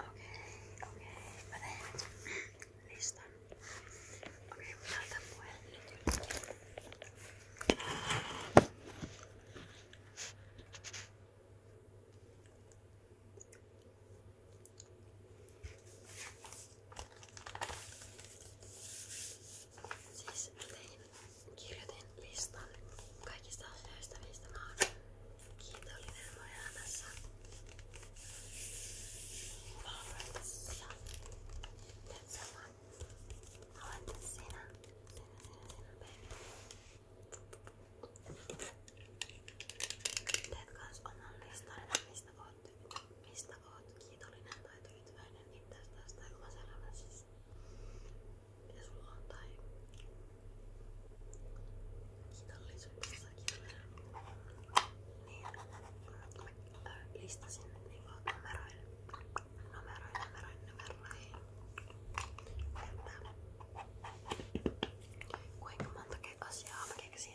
Okei, okei. Mä teen listan. Okei, mä laitan puheen nyt ylös. Siis mä tein, kirjoitin listan kaikista asioista, mistä mä oon kiitollinen voi äänessä. Valvoitessa. Teet sama. Olette sinä. Sinä, sinä, sinä, baby. Teet kans oman listan, mistä oot, mistä oot kiitollinen tai tyytyväinen itsestäsi niin tai omassa elämässäsi. Mitä sulla on tai kiitollisuudessa niin mä listasin niinku numeroin, numeroin, numeroin, numeroin että kuinka monta asiaa mä keksin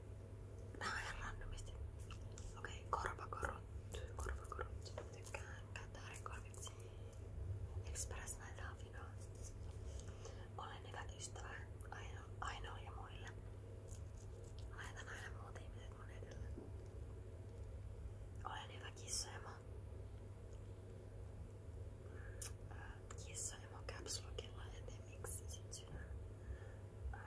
Nää on ihan randomisti. Okei, okay, korvakorut. Korvakorut. Tykkään käyttää äärikorviksi. Express näitä Afinoa. Olen hyvä ystävä aino, ainoa ja muille. Laitan aina muut ihmiset mun edelle. Olen hyvä kissaemo. Mm, äh, kissaemo caps lockilla, en tiedä miksi sit synä. Äh,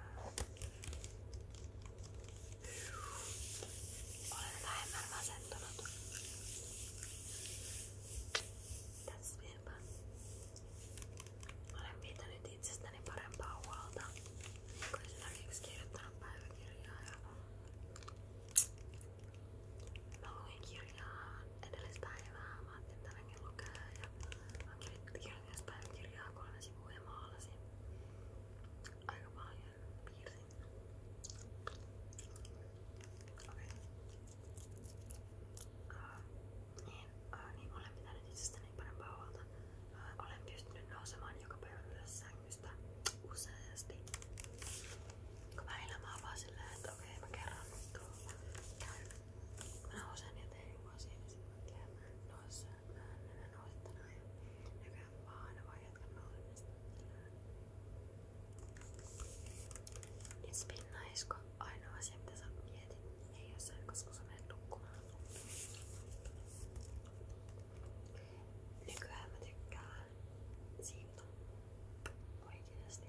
olen vähemmän masentunut. Tässä vielä. Olen pitänyt itsestäni parempaa huolta. Olen esimerkiksi kirjoittanut päiväkirjaa ja mä luin kirjaa edellistä päivää. Mä ajattelin tänäänkin lukea ja mä kirjoitin päiväkirjaa kolme sivua ja maalasin aika paljon piirsin. Okei. Okay. Uh, niin, uh, niin olen pitänyt itsestäni parempaa huolta. Uh, olen pystynyt nousemaan joka päivä ylös sängystä useasti. Kun välillä mä avaan silleen, että okei okay, mä kerran nyt tuolla käyn. Mä nousen ja teen joku asia ja sit mä käyn. Nousen. Mä en ole tänään ja nykyään mä aina vaan jatkan nousemista It's been nice, kun ainoa asia mitä sä mietit ei oo se, koska sä menet nukkumaan Nykyään mä tykkään siivota oikeesti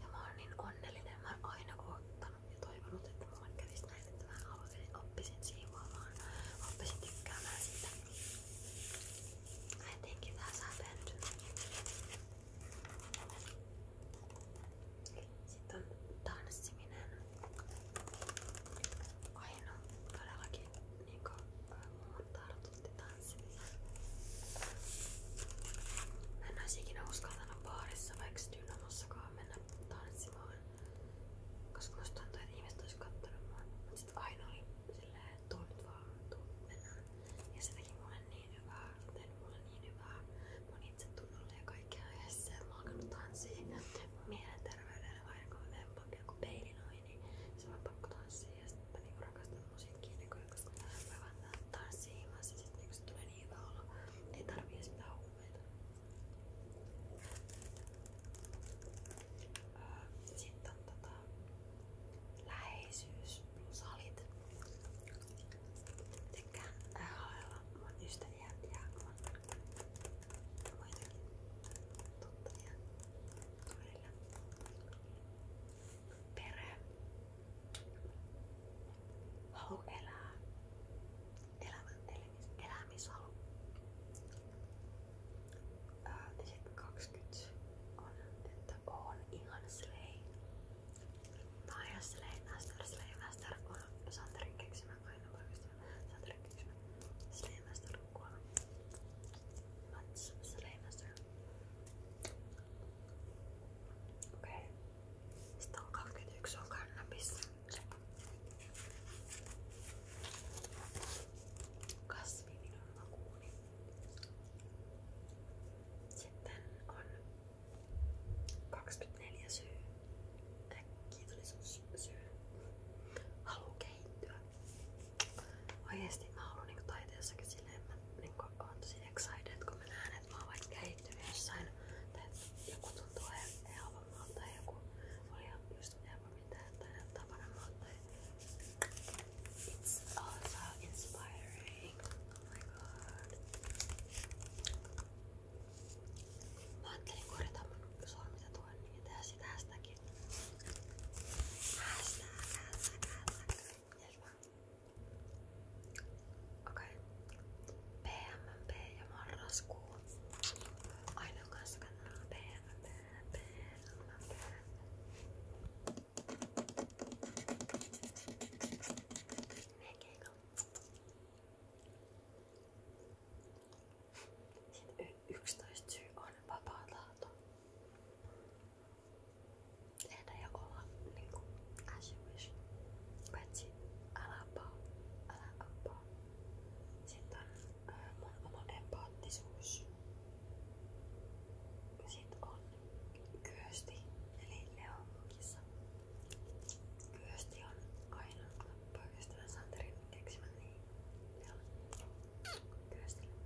Ja mä oon niin onnellinen, mä oon aina kun odottanut ja toivonut, että mulle kävisi näin, että mä oppisin, oppisin siivoamaan, oppisin tykkäämään sitä. I think it has happened. Sitten on tanssiminen. Aina todellakin niinku muun tartutti tanssimisen. Mä en olisi ikinä uskaltanut baarissa vaikka dynamassakaan mennä tanssimaan. Koska musta tuntuu, että ihmiset olis kattonut mua. Mut sit aina oli silleen, että tuu nyt vaan, tuu mennään. Ja se teki mulle niin hyvää, se teki mulle niin hyvää. Mun itse tunnolle ja kaikkea yhdessä. Mä oon alkanut tanssia. Mun mielenterveydellä aina kun mä menen pakko joku peilinoin, niin se on pakko tanssia. Ja sit mä niinku rakastan musiikkia nykyään, koska mä vaan tanssia ilmassa. Sit niinku se tulee niin hyvä olo. Ei tarvii edes mitään Öö, Sitten on tota, läheisyys plus salit. Tykkään haella mun ystäviä ja mun muitakin tuttavia tuilla. Perhe. Halu elää elämän televis, elämishalu. Ää, ja sitten 20 on, että on ihan slay. Tää on ihan slay master, slay master on Santerin keksimä, aina oikeastaan Santerin keksimä. Slay master kuolema. Mats, slay master. Okei. Okay. Sitten on 21 on kannabis kasvi minun makuuni. Sitten on 24 syy. Kiitollisuussyy. Halu kehittyä. Oikeesti mä haluan niinku taiteessakin silleen, mä niinku oon tosi excited, kun mä näen, että mä oon vaikka kehittynyt jossain tai joku tuntuu ihan tavallaan tai joku oli just ever It's also inspiring. Oh my god. Mä ajattelin korjata mun sormia tuon niin tehdä sitä hästäkin. Okei. Okay. PMP Ai não gosto da pena, pena, pena, pena. Minha Kegel. Sitten 11 syy on vapaa tahto. Tehdä ja olla niinku as you wish. Paitsi älä paa, älä appaa. Sitten on ää, äh, mun oman empaattisuus. Sitten on Kyösti, eli Leo kissa. Kyösti on aina poikaystävän Santerin keksimä niin. Kyöstille.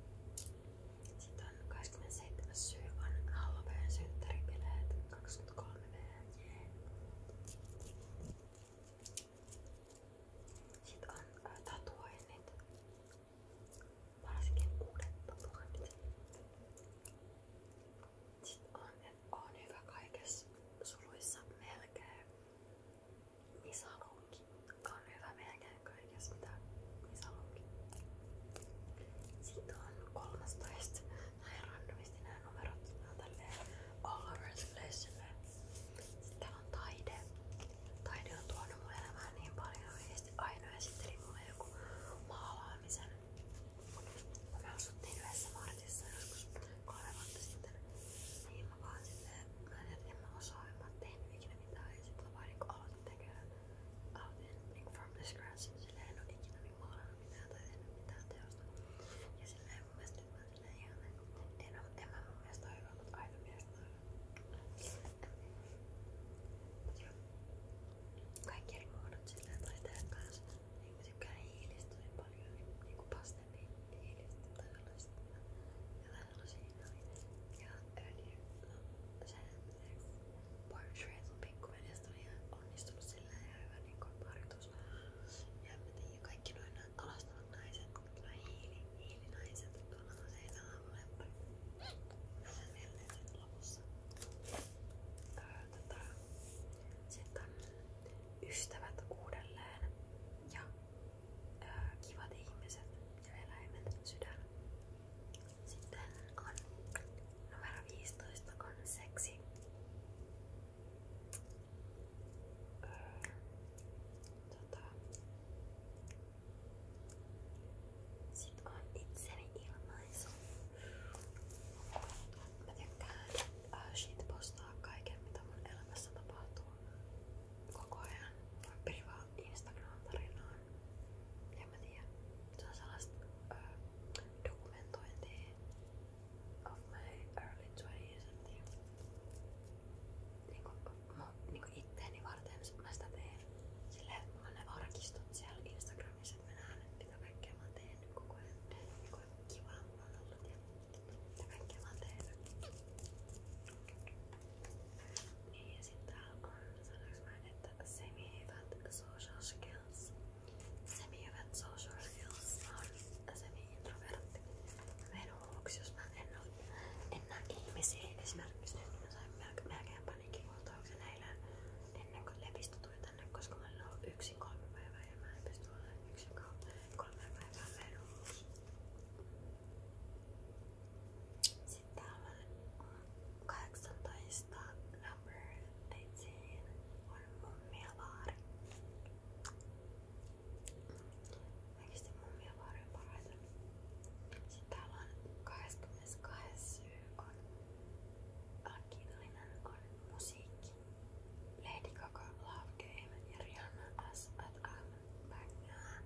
Sitten on 27. syy on Halloween synttäripileet 23V. Yeah. Sitten on ä, äh, tatuoinnit. Sitten on, että on hyvä kaikessa suluissa melkein. Misalunki on hyvä melkein kaikessa mitä misalunki. Sitten on 13 näin randomisti nämä numerot nämä on tälleen all over the place Sitten täällä on taide. Taide on tuonut mun elämään niin paljon oikeesti aina esitteli mulle joku maalaamisen. Me asuttiin yhdessä Martissa joskus kolme vuotta sitten. Niin mä vaan silleen, mä en, en mä osaa, en mä oon tehnyt ikinä mitään. Ja sit mä vaan niinku aloitin tekemään. Aloitin niinku from the scratch. Silleen en oo ikinä niin maalannut mitään tai tehnyt mitään teosta. Ja silleen mun mielestä en, oo, en mä mun mielestä ole hyvä, mutta aina mielestä on Mut joo. Kaikki eri muodot silleen taiteet kanssa. Niin mä tykkään hiilistä tosi paljon. Niinku pastelli hiilistä tai sellaista. Jotain sellaisia Ja öljy. No se portrait on pikkuveljestä on ihan onnistunut silleen ihan hyvä niinku harjoitus. Ja mä ja kaikki noin alastavat naiset, noin hiili, hiilinaiset, tuolla on se sama lemppari. Nähdään vielä sitten lopussa. Tää, tota, sitten on ystävät uudelleen ja ää, kivat ihmiset ja eläimet, sydän. Sitten on numero 15 on seksi tota, sit on itseni ilmaisu. Mä tykkään äh, shitpostaa kaiken mitä mun elämässä tapahtuu koko ajan. Mä privaan Instagram-tarinaan. En mä tiedä. Se on sellaista äh, dokumentointia of my early 20s, en tiedä. Niinku, mu, niinku itteeni varten mä sitä teen silleen, että mulla on ne arkistot siellä Instagramissa, että mä näen, että mitä kaikkea mä oon tehnyt koko ajan. Niinku kivaa mulla on ollut ja mitä kaikkea mä oon tehnyt. Niin ja sit täällä on, sanoinko mä, että semi-hyvät social skills. Semi-hyvät social skills on semi niin introvertti verhoaksi, jos mä en, ole, en näe ihmisiä. Esimerkiksi nyt niin mä sain melkein, melkein paniikkikohtauksen eilen ennen kuin lepistä tuli tänne, koska mä olin ollut yksin kolme päivää ja mä en pysty olemaan yksin kolme päivää verhoaksi. Sitten täällä on 18 number 18 on mummiavaari. Oikeesti mun mielestä parhaita. Sitten täällä on 22 syy on Akillinen on musiikki. Lady Gaga, Love Game ja Rihanna S. At Bagnaan.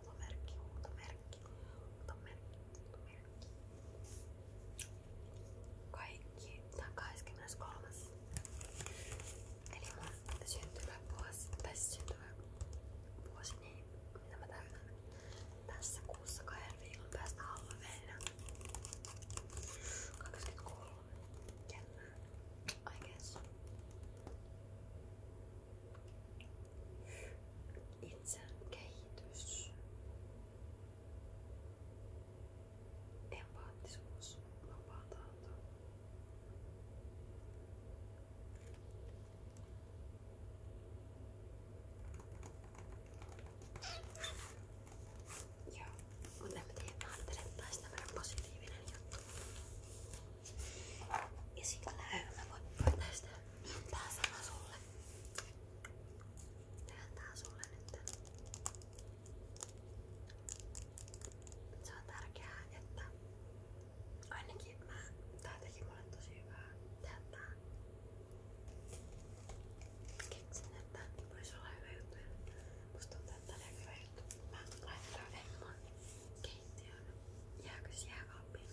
Huutomerkki, huutomerkki, huutomerkki, huutomerkki. Kaikki Tää on 23. Eli mun syntymävuosi, tai siis syntymävuosi, niin mitä mä täytän tässä kuussa kahden viikon päästä Halloweenina. 23. Jännää. I guess. Itsen kehitys. Empaattisuus, vapaa tahto. Joo, mutta en tiedä, mä ajattelen, että taisi tämmönen positiivinen juttu. Ja sillä mä voin, voin tästä tää sama sulle. Tehdään tää sulle nyt. Se on tärkeää, että ainakin mä, tää teki mulle tosi hyvää tehdä Keksin, että voisi olla hyvä juttu ja musta tuntuu, että tää on hyvä juttu. Mä laitan Emmon keittiön jääkös jääkaappiin.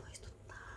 Muistuttaa.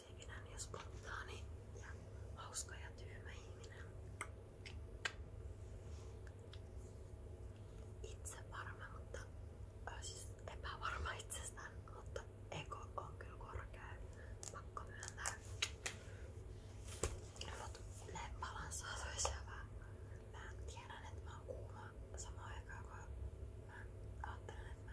musiikinen ja spontaani ja hauska Itse varma, mutta siis epävarma itsestään, mutta ego on kyllä korkea. Pakko myöntää. Mut että mä kuuma samaan aikaan, kun mä ajattelen, että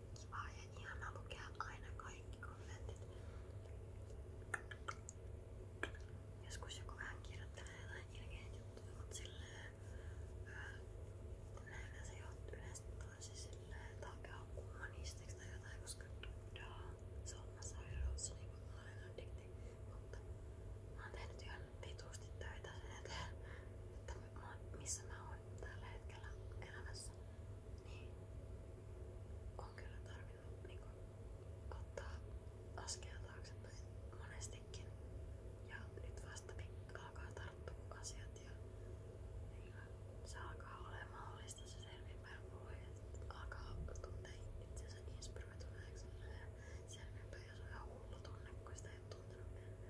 Kiva ja ihana lukea aina kaikki kommentit. Joskus joku vähän kirjoittelee jotain ilkeitä juttuja, mutta silleen näin se johtuu yleensä tosi silleen takaa humanistiksi tai jotain, koska dudaa. Se on oma sairaus, se niin mä olen addikti. Mutta mä oon tehnyt ihan vitusti töitä sen eteen, että mä, missä mä oon tällä hetkellä elämässä kanssa, niin on kyllä tarvinnut niin kun, ottaa askel taaksepäin monestikin. Ja nyt vasta alkaa tarttua asiat ja niin kun, se alkaa olemaan mahdollista se selvinpäin voi ja alkaa tuntea itsensä inspiroituneeksi ja selvinpäin, jos on ihan hullu tunne, kun sitä ei ole tuntenut ennen.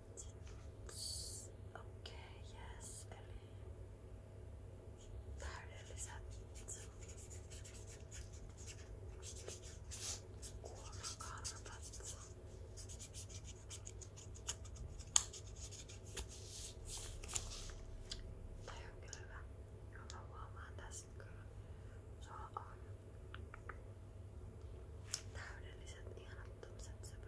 Okei, okay, yes, eli täydelliset kuorokarvat. Toi on kyllä hyvä. Ja mä huomaan tässä kyllä. Se on täydelliset, ihanat tommoset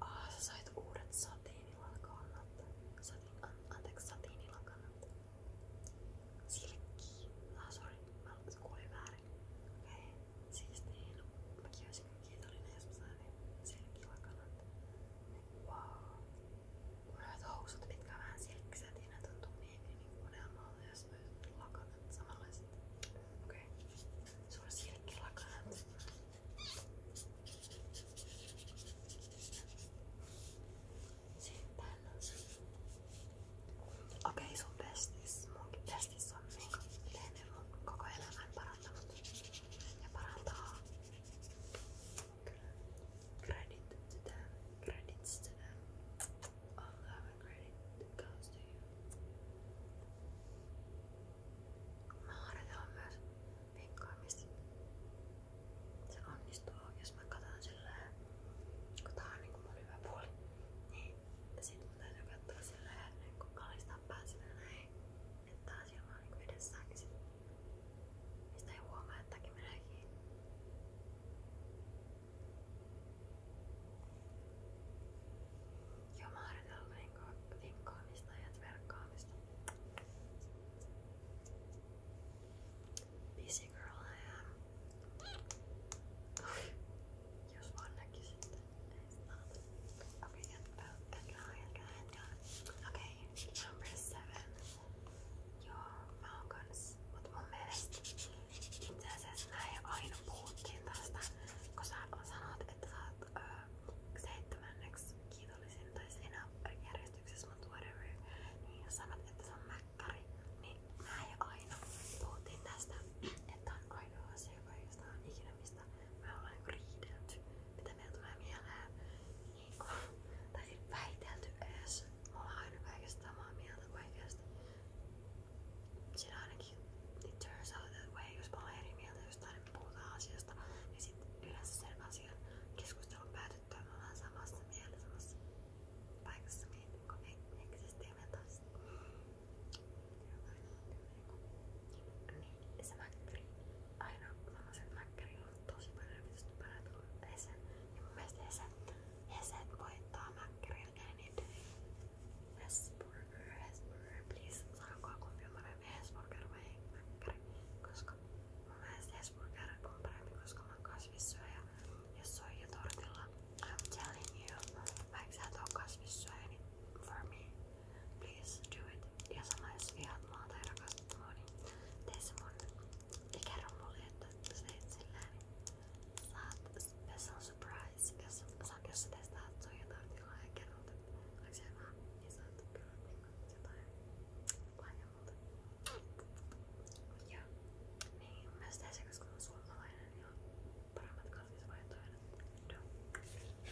Ah, sä sait uudet satiinilakannat. Satiin, an, anteeksi, satiinilakannat. Silkki. Ah, sorry. Mä kuulin väärin. Okei. Okay. Siis niin. Mäkin olisin kiitollinen Esposainen niin silkkilakanat. Wow. Urat housut, mitkä on vähän silkkiset ja ne tuntuu miehille niin, niin, niin unelmalta, jos myös lakanat samanlaiset. Okei. Okay. Sulla on silkkilakanat. Sitten. Okei, okay, sun pestis. Munkin pestis on niinku tehnyt mun koko elämän parantanut ja parantaa Credit to them. Credits to them. All love and credit goes to you. Maaret on myös vinkkaamista. Se onnistuu, jos mä katson silleen, kun tää on niinku mun hyvä puoli. Niin, ja sit mun täytyy katsoa silleen, niin kun kalistaa pää silleen näin että asia on niin edessä, mistä ei huomaa, että jotakin menee kiinni. Joo, mä harjoitellut linko- linkkaamista ja tverkkaamista. Busy girl I am. Jos vaan näkisitte, Okay, and both and dry and dry and dry. Okay, number seven. Your mut mielestä itse asiassa näin aina puhuttiin tästä, kun sä sanot, että sä oot öö, seitsemänneksi kiitollisin tai siinä järjestyksessä, mutta whatever, niin jos sanot, että se on mäkkäri, niin näin aina puhuttiin tästä, että on ainoa asia, joka ei ikinä mistä me ollaan niinku riidelty, mitä meiltä tulee mieleen, niinku, tai väitelty edes. Me ollaan aina kaikesta samaa mieltä kaikesta. Siinä ainakin it turns out that way, jos me ollaan eri mieltä jostain, niin me puhutaan asiasta, niin sit yleensä sen asian keskustelun päätyttyä me ollaan samassa mieltä, samassa paikassa niin henkisesti ja mentaalisesti. Niin, niin se mäkkäri, aina sellaiset mäkkäri on tosi paljon vitusti parempi kuin niin Hese. Ja mun mielestä Hese, Hese voittaa mäkkärillä any niin day. Hesburger, Hesburger, please sanokaa kumpi on parempi Hesburger vai mäkkäri. Koska mun mielestä Hesburger on parempi, koska mä oon kasvissyöjä ja soija tortilla. I'm telling you, vaikka sä et oo kasvissyöjä, niin for me, please do it ja sama jos vihaat mua tai rakastat mua, niin tee se mun ja kerro mulle, että sä teit sillä niin saat, tässä on surprise, jos, jos sä testaat sun jotain tilaa ja kerrot, että niin onko se hyvä, niin saat kyllä jotain lahjaa multa. Ja niin, myös tee se, koska mä oon suomalainen ja paremmat kasvisvaihtoehdot.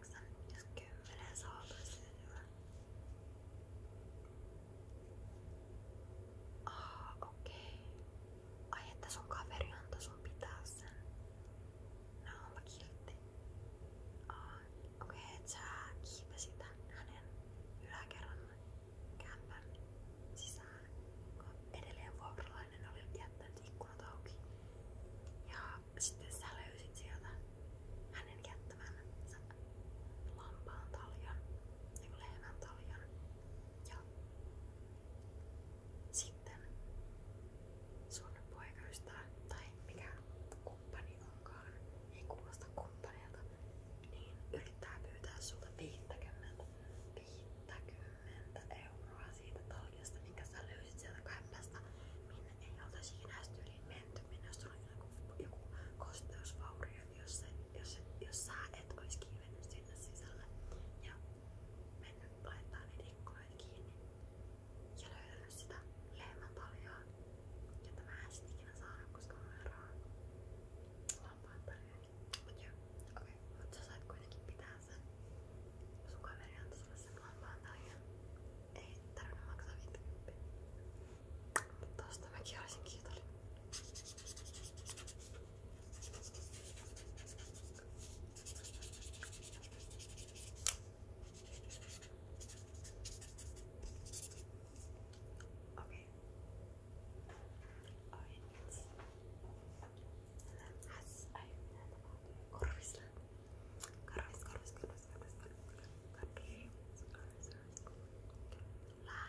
8, 10 sivua. Ah, okei. Okay. Ai että sun kaveri antoi sun pitää sen. No onpa kiltti. Ah, okei, okay, et sä kiipesit hänen yläkerran kämpän sisään, kun edelleen vuokralainen oli jättänyt ikkunat auki. Ja sitten sä sieltä hänen jättävän lampaan taljan, Ja sitten sun tai mikä kumppani onkaan, ei kuulosta kumppanilta, niin yrittää pyytää sulta 50, 50 euroa siitä taljasta, minkä sä löysit sieltä minne ei oltaisi ikinä tyyliin mentyminen, on joku, joku kosteusvaurio, jos, se, jos, jos sä et olisi kiivennyt sinne sisälle ja mennyt laittaa niitä ikkunoita kiinni ja löytänyt sitä lehmän taljaa, jota mä en sit ikinä saanut, koska mä olen rahaa lampaan tarjoakin. Mut joo, okei, okay. mut sä sait kuitenkin pitää sen. Sun kaveri antoi sulle sen lampaan tarjan ei tarvinnut maksaa 50. Mutta tosta mäkin olisin kiitollinen. Okei. Okay. Oin. Has aina korvissa. Karvis, karvis, karvis, karvis, karvis, karvis, karvis, karvis. Lähti. Ja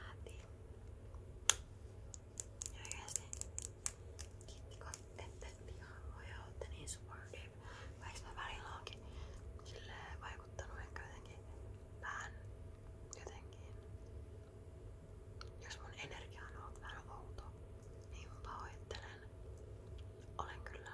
oikeesti. Kiitti kun ette ihan voi ootte niin supportive. Vaikka mä välillä onkin silleen vaikuttanut ehkä jotenkin vähän jotenkin. Jos mun energia on ollut vähän outo, niin pahoittelen. Olen kyllä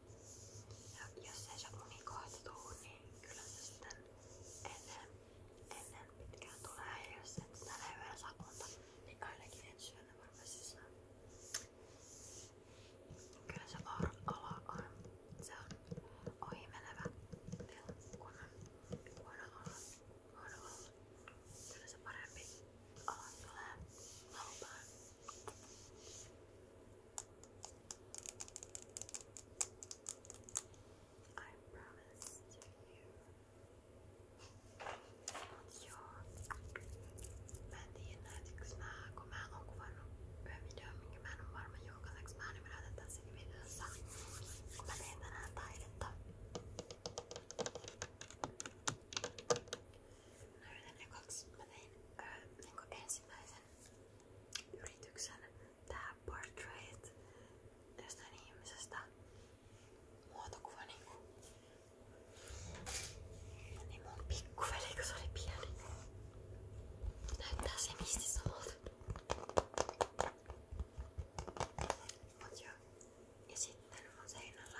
Ja jos ei se uni kohtuu, niin kyllä se sitten ennen, ennen pitkään tulee. Ja jos et tänä yöllä saa unta, niin ainakin ensi yönä varmaan sisään. Kyllä se auran ala on. Se on ohimenevä kunnon huono olla. Huono olla. Kyllä se parempi ala tulee halpaan. I promise to you jag, men det är nätixna kommer han och var bedömningen med honom varma yogalax med honom hade den sig vid USA. Men det är den yrityksen tää portrait jostain ihmisestä muotokuva niinku. Niin mun pikkuveli, kun se oli pieni. Näyttää se mistä samalta. Mut joo. Ja sitten mun seinällä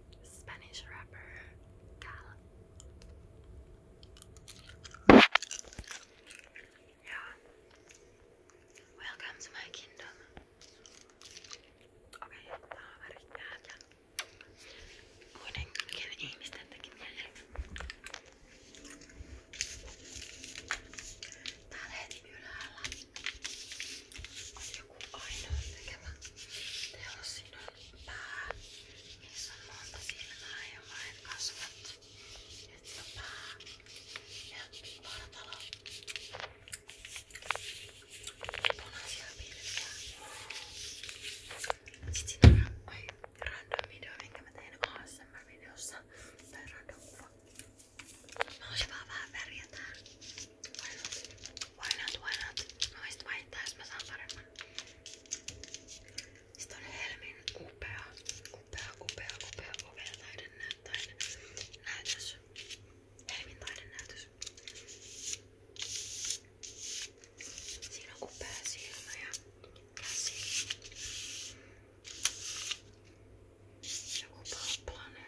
Spanish rapper Yeah. Welcome to my kingdom. Okay, daha var ihtiyacım. Bunun kendini joku ainoa tekemä teos. Siinä on pää, missä on monta silmää ja vain kasvat. Nyt on pää ja vartalo. Punaisia pilviä. Sitten siinä on ai, random video, minkä mä tein ASMR-videossa. Tai random kuva. Mä olisin vaan vähän väriä täällä. Why not, why not? Mä voisin vaihtaa, jos mä saan paremman. Sitten on Helmin upea, upea, upea, upea, upea taidenäytös. Helmin taidenäytös. Siinä on upea silmä ja käsi. Joku palppalainen.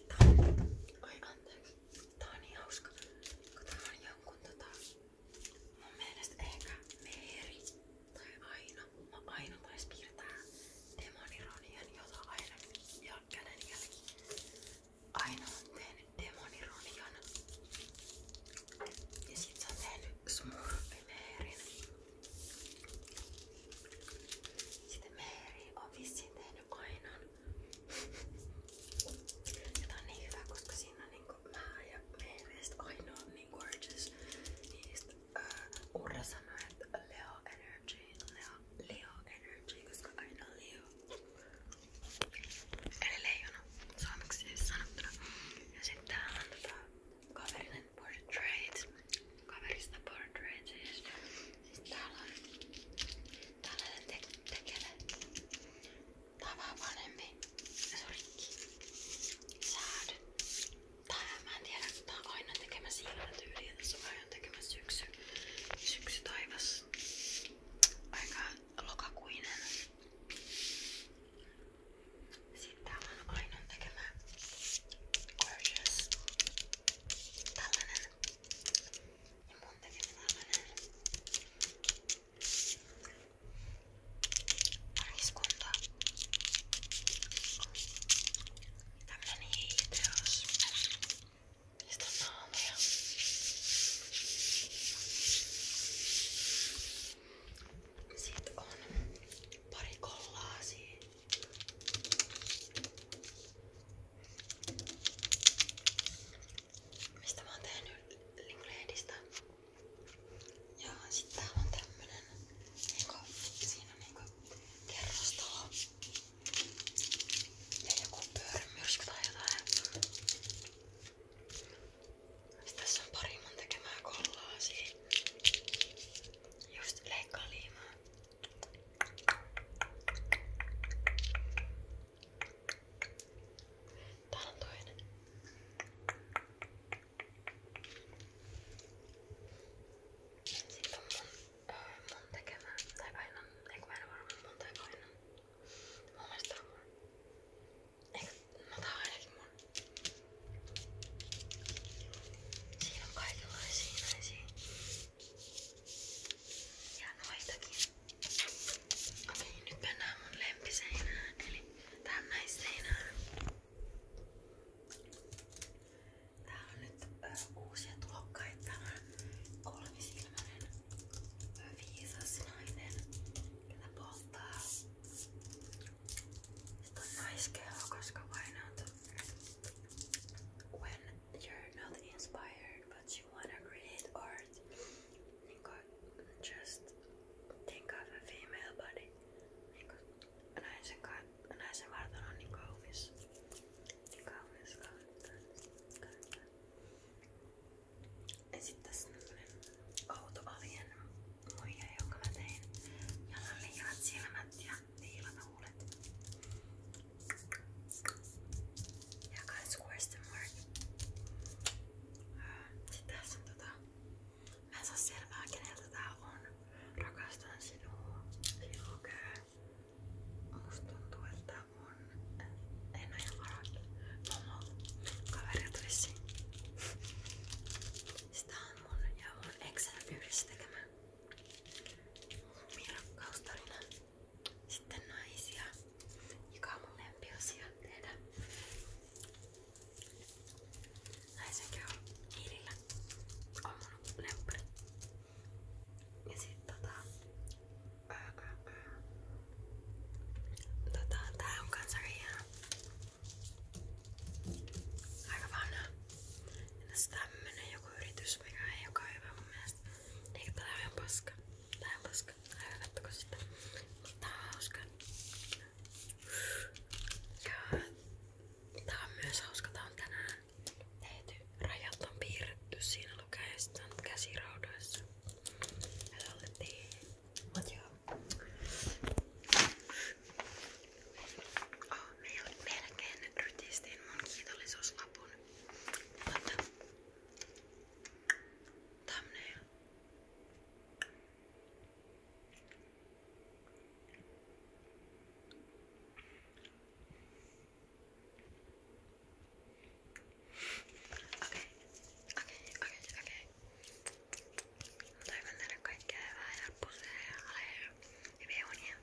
Sitten tää on... Niin Ai anteeksi. Tää on niin hauska. Kun tää on jonkun tota... Mun mielestä ehkä Meeri tai Aino. Mä Aino taisi piirtää demonironian, jota aina ja kädenjälki. Aino on tehnyt demonironian. Ja sit se on tehnyt smurfimeerin. Sitten Meeri on vissiin tehnyt ainan. Ja tää on niin hyvä, koska siinä on niinku mä ja meidän ainoa on niin gorgeous. Niistä uh, Urra sanoi, että Leo Energy, Leo, Leo Energy, koska aina on Leo. Eli leijona, suomeksi siis sanottuna. Ja sitten täällä on tota kaverinen portrait kaverista portrait siis. siis täällä on, täällä on te tekele. Tää on vähän vanhempi. Se on rikki. Säädy. Tää mä en tiedä, kun tää on aina tekemä sillä tyyliä. Tässä on aina tekemä syksy. Syksy taivas. Aika lokakuinen. Sitten täällä on aina tekemä Gorgeous. Tällainen i munnen i mina vänner. Mariskonda. Tämmönen hiiteos. Mistä naamia? Sitten on pari kollaasia. Mistä mä oon tehnyt Linklehdistä. Ja sit täällä on tämmönen, niinku, siinä on niinku kerrostalo. Ja joku pyörämyrsky tai jotain. Sit tässä on pari mun tekemää kollaasia. Just leikkaa liimaa. Täällä on toinen. Sitten on mun, öö, mun tekemä, tai painon, eikö mä en varmaan mun tai painon. Mun mielestä on mun. Eikö, no tää on ainakin mun. Siinä on kaikenlaisia näisiä Hienoitakin. Okei, nyt mennään mun lempiseinään, eli tähän naisseinään. Tää on nyt ö, uusia tulokkaita. Kolmisilmäinen, viisas nainen, jota polttaa. Sitten on naiskeho, koska vain on when you're not inspired but you wanna create art just think of a female body naisen, naisen vartalo on niin kaunis niin kaunis, kaunis, kaunis. ja sit tässä Neilanahuulet. Ja kans Question Mark. Sitten tässä on tota... Mä en saa selvää keneltä tää on. Rakastan sinua. Sinua käy. Musta tuntuu, että on... En oo ihan varmaan. Momolta. Kaverilta vissiin. Sitä on mun ja mun exen yhdessä tekemä Mun rakkaustarina. Sitten naisia, joka on mun lempiosia tehdä. Naisen keho hiilillä on mun lemppari. Ja sit tota... Ää, ää, ää. Tota, tää on kans aika hieno. Aika vanha. Entäs tämmönen joku yritys? Yhdysvega ei joka hyvä mun mielestä. Eikä tää ihan paska. Tää on paska. Älä kattoko sitä. Mut tää on hauska. Ja tää on myös hauska. Tää on tänään tehty. Rajat on piirretty. Siinä lukee sitten käsiraudoissa. Ja tallettiin. Mut joo. Oh, melkein rytistin mun kiitollisuuslapun But the thumbnail. Okei, okei, okei, okei. Toivon teille kaikkea hyvää ja pusseja ja hyviä unia.